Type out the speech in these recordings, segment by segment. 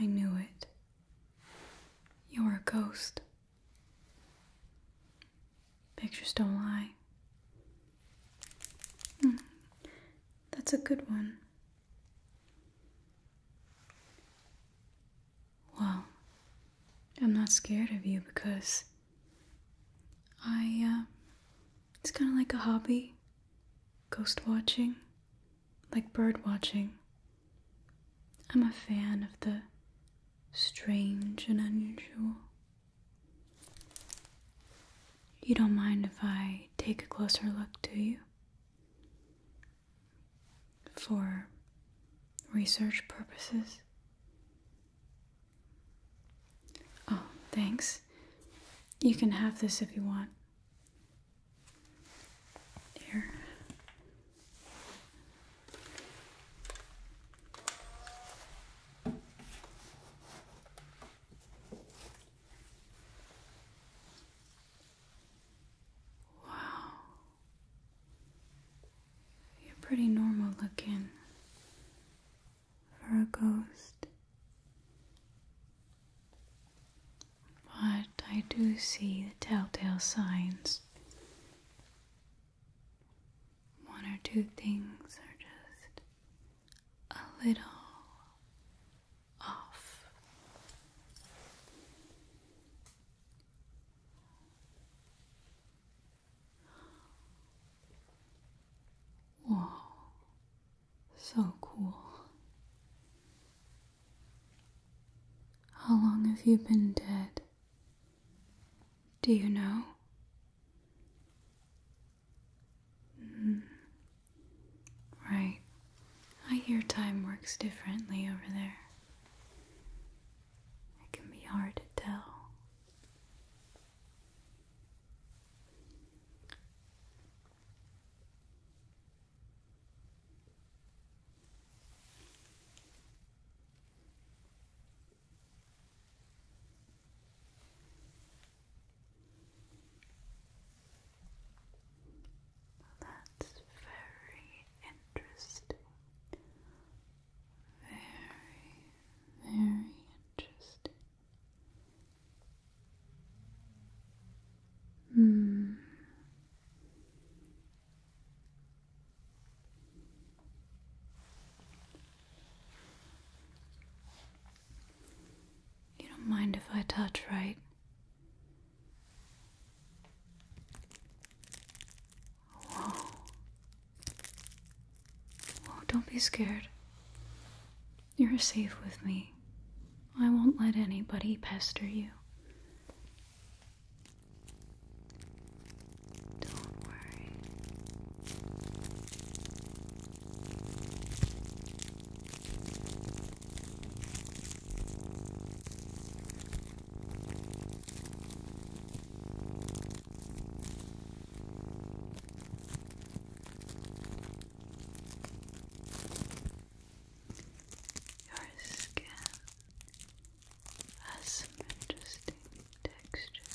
I knew it. You're a ghost. Pictures don't lie. Hmm. That's a good one. Well, I'm not scared of you because I, uh, it's kind of like a hobby ghost watching, like bird watching. I'm a fan of the strange and unusual. You don't mind if I take a closer look, do you? For research purposes? Oh, thanks. You can have this if you want. Here. Wow. You're pretty normal looking for a ghost. But I do see the telltale signs. One or two things are just a little off. Wow, so cool. How long have you been dead? Do you know? Mm. Right. I hear time works differently over there. It can be hard to tell. That's very interesting. Very, very interesting. Hmm. You don't mind if I touch, right? Whoa. Whoa, don't be scared. You're safe with me. I won't let anybody pester you. Don't worry. Your skin has some interesting textures.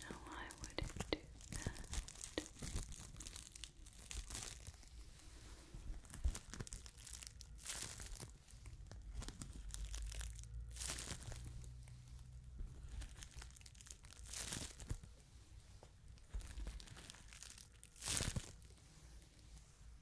No, I wouldn't do that.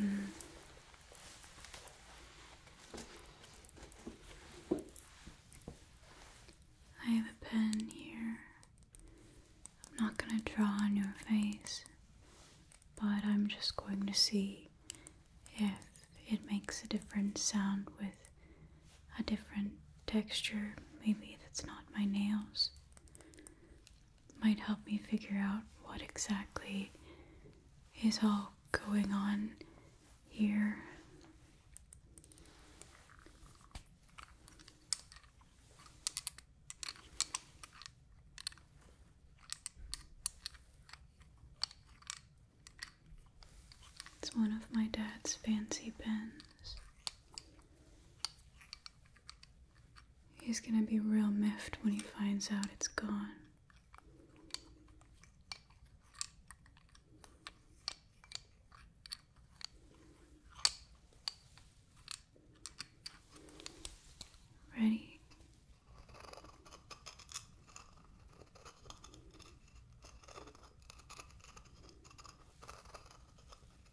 Mm. I have a pen here. I'm not going to draw on your face, but I'm just going to see if it makes a different sound with a different texture. Maybe that's not my nails might help me figure out what exactly is all going on here. It's one of my dad's fancy pens. He's gonna be real miffed when he finds out it's gone. Ready?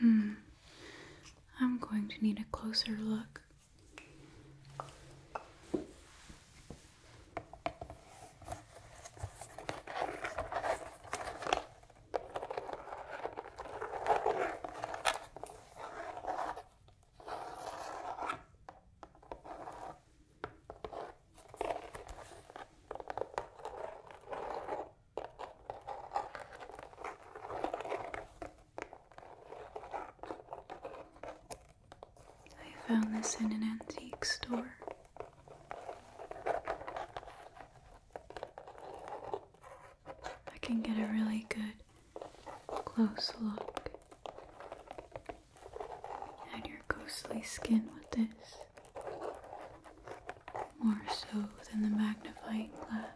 Hmm. I'm going to need a closer look. I found this in an antique store. I can get a really good close look at your ghostly skin with this, more so than the magnifying glass.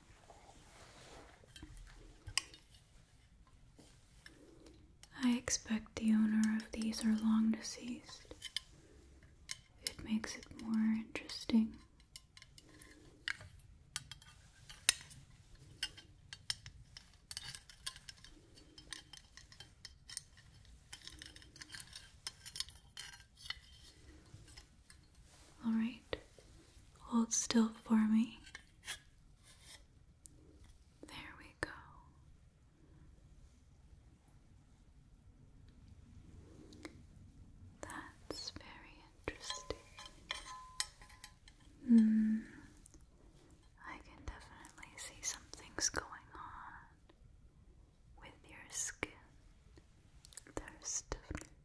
I expect the owner of these are long deceased. It makes it more interesting. All right, hold still for me. There we go. That's very interesting. Mm, I can definitely see something's going on with your skin. There's definitely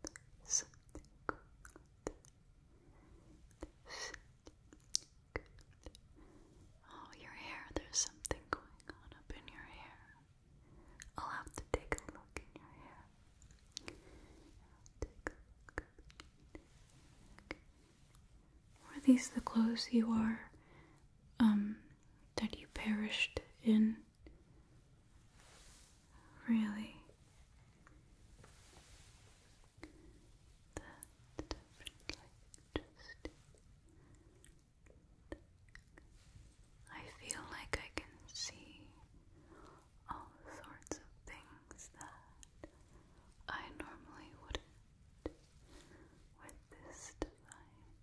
Oh, your hair. There's something going on up in your hair. I'll have to take a look in your hair. i Were these the clothes you are, um, that you perished in? really I feel like I can see all sorts of things that I normally wouldn't with this device.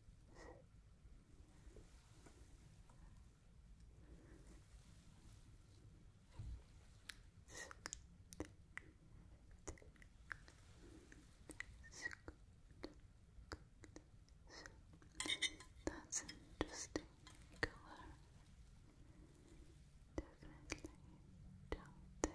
That's an interesting color. Definitely down there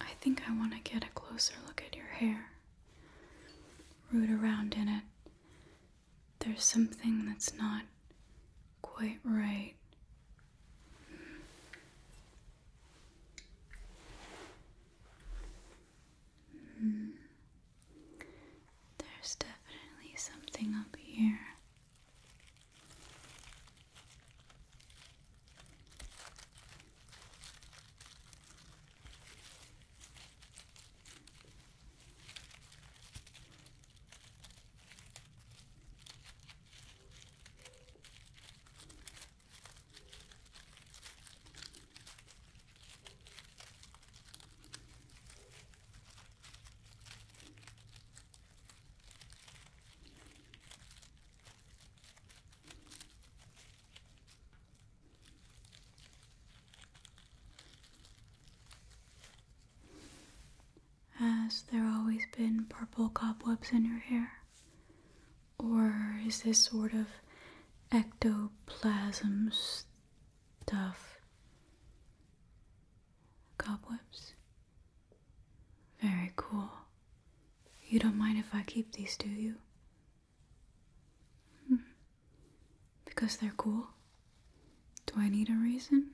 I think I want to get a closer look at your hair. Root around in it. There's something that's not quite right. Hmm. There's definitely something up here. Has there always been purple cobwebs in your hair? Or is this sort of ectoplasm stuff? Cobwebs? Very cool. You don't mind if I keep these, do you? Hmm. Because they're cool? Do I need a reason?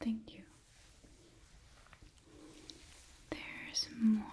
Thank you. There's more.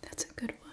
That's a good one.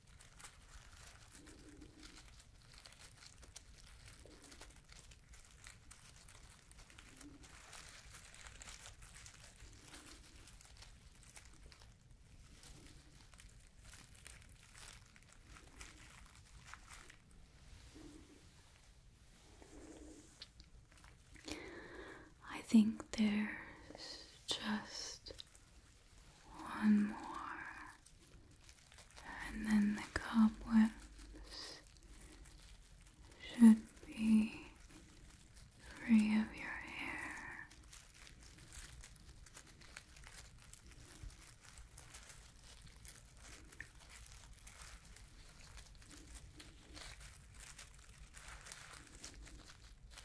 I think there's just one more. And then the cobwebs should be free of your hair.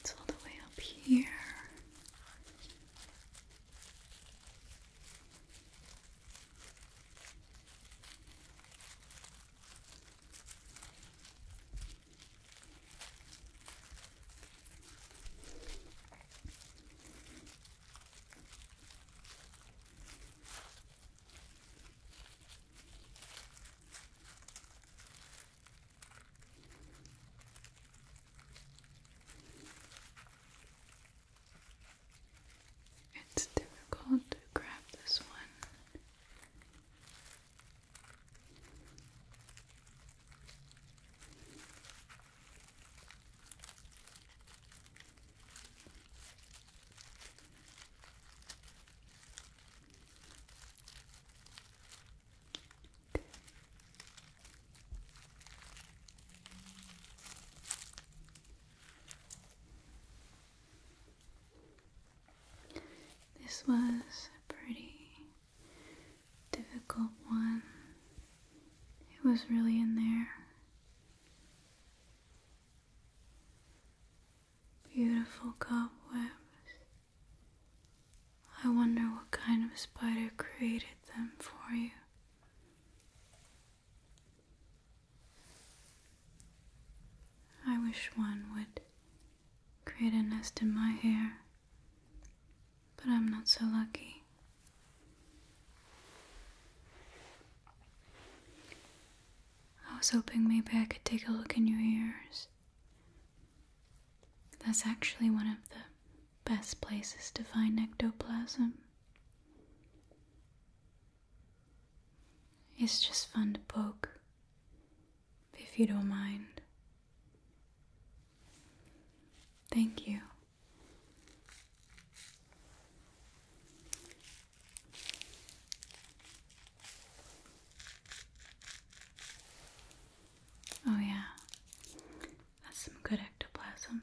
It's all the way up here. It's difficult to grab this one. This was a pretty difficult one. It was really in there. Beautiful cobwebs I wonder what kind of spider created them for you. I wish one would create a nest in my hair, but I'm not so lucky. I was hoping maybe I could take a look in your ears. That's actually one of the best places to find ectoplasm. It's just fun to poke, if you don't mind. Thank you. Oh, yeah. That's some good ectoplasm.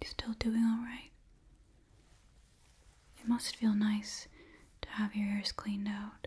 You still doing all right? It must feel nice to have your ears cleaned out.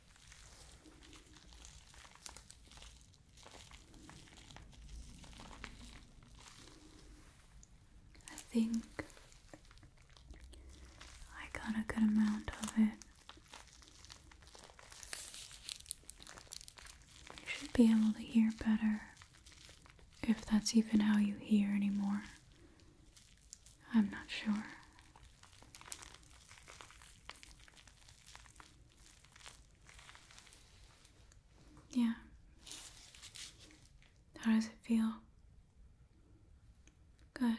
I think I got a good amount of it. You should be able to hear better if that's even how you hear anymore. I'm not sure. Yeah. How does it feel? Good.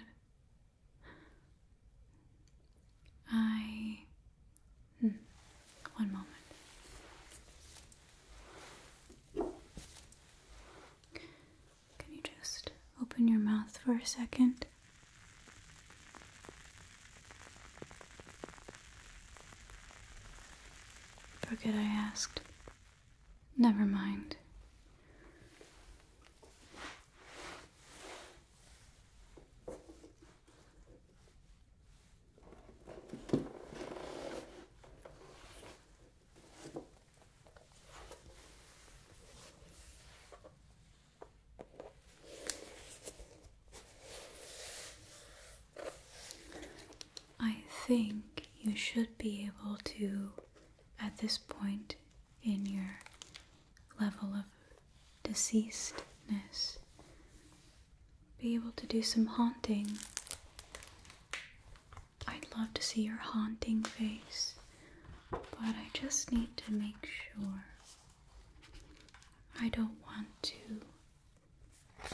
I. Hmm, one moment. Can you just open your mouth for a second? mind. Forget I asked. Never mind. I think you should be able to, at this point in your level of deceasedness, be able to do some haunting. I'd love to see your haunting face, but I just need to make sure I don't want to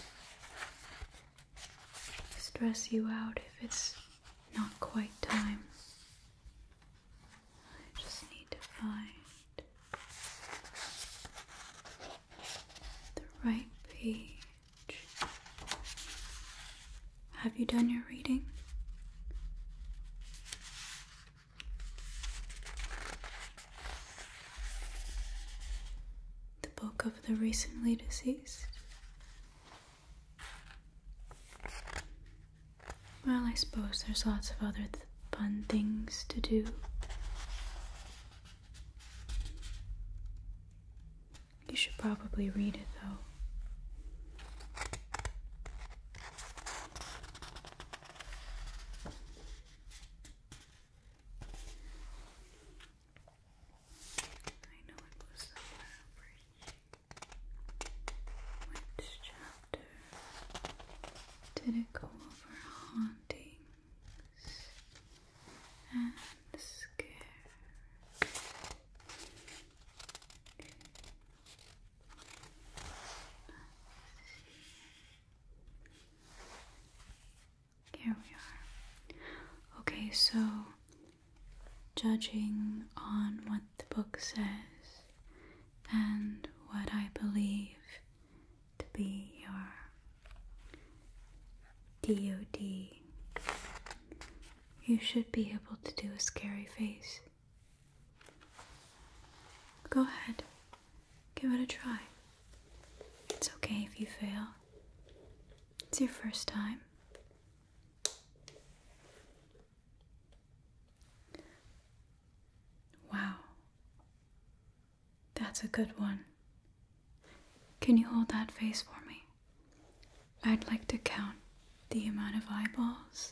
stress you out if it's not quite time. I just need to find the right page. Have you done your reading? The book of the recently deceased. Well, I suppose there's lots of other fun things to do. You should probably read it though. I know it goes somewhere over Which chapter did it go over hauntings and scare? Here we are. Okay, so judging on what the book says and what I believe to be your DOD, you should be able to do a scary face. Go ahead, give it a try. It's okay if you fail, it's your first time. Wow, that's a good one. Can you hold that face for me? I'd like to count the amount of eyeballs.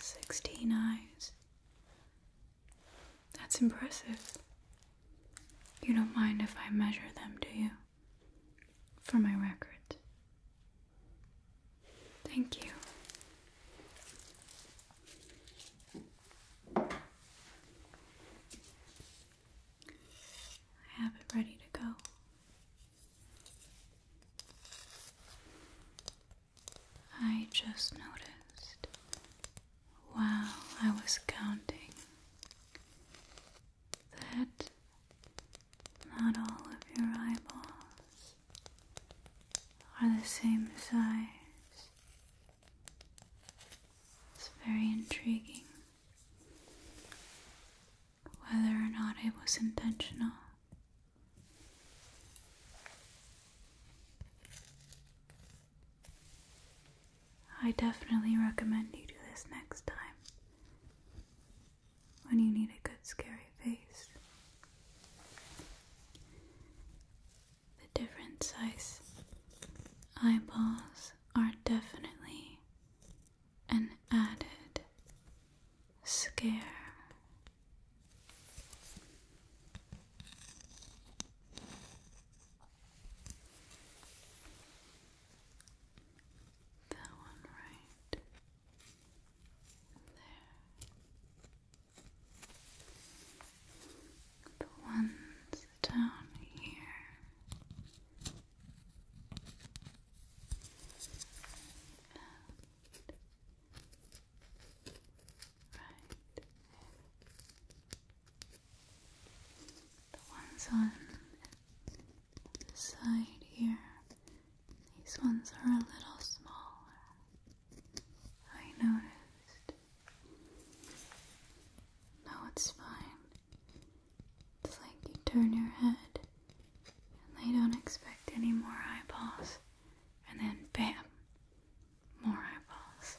sixty sixteen eyes. That's impressive. You don't mind if I measure them, do you? For my record. Thank you. I have it ready to go. I just noticed while I was counting that not all of your eyeballs are the same size. It's very intriguing whether or not it was intentional. I definitely recommend you do this next time when you need a good scary face the different size eyeballs are definitely an added scare. That one right there. The ones down here. right The ones on the side here. These ones are a little smaller. I noticed no, it's fine. It's like you turn your head and they don't expect any more eyeballs, and then bam, more eyeballs.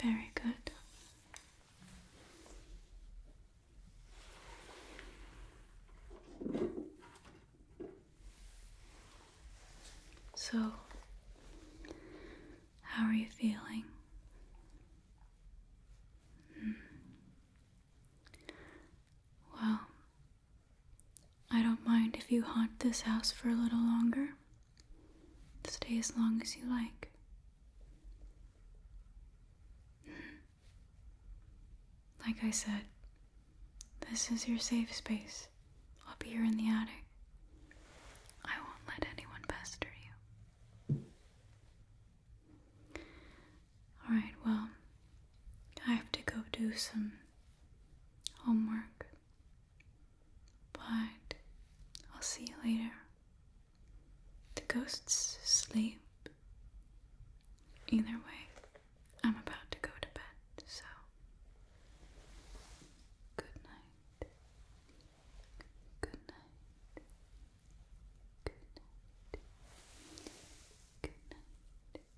Very good. So, how are you feeling? Hmm. Well, I don't mind if you haunt this house for a little longer. Stay as long as you like. Hmm. Like I said, this is your safe space. I'll be here in the attic. I won't let anyone pester you. Alright, well, I have to go do some homework. But I'll see you later. The ghosts sleep. Either way, I'm about to go to bed, so good night. Good night. Good night. Good night.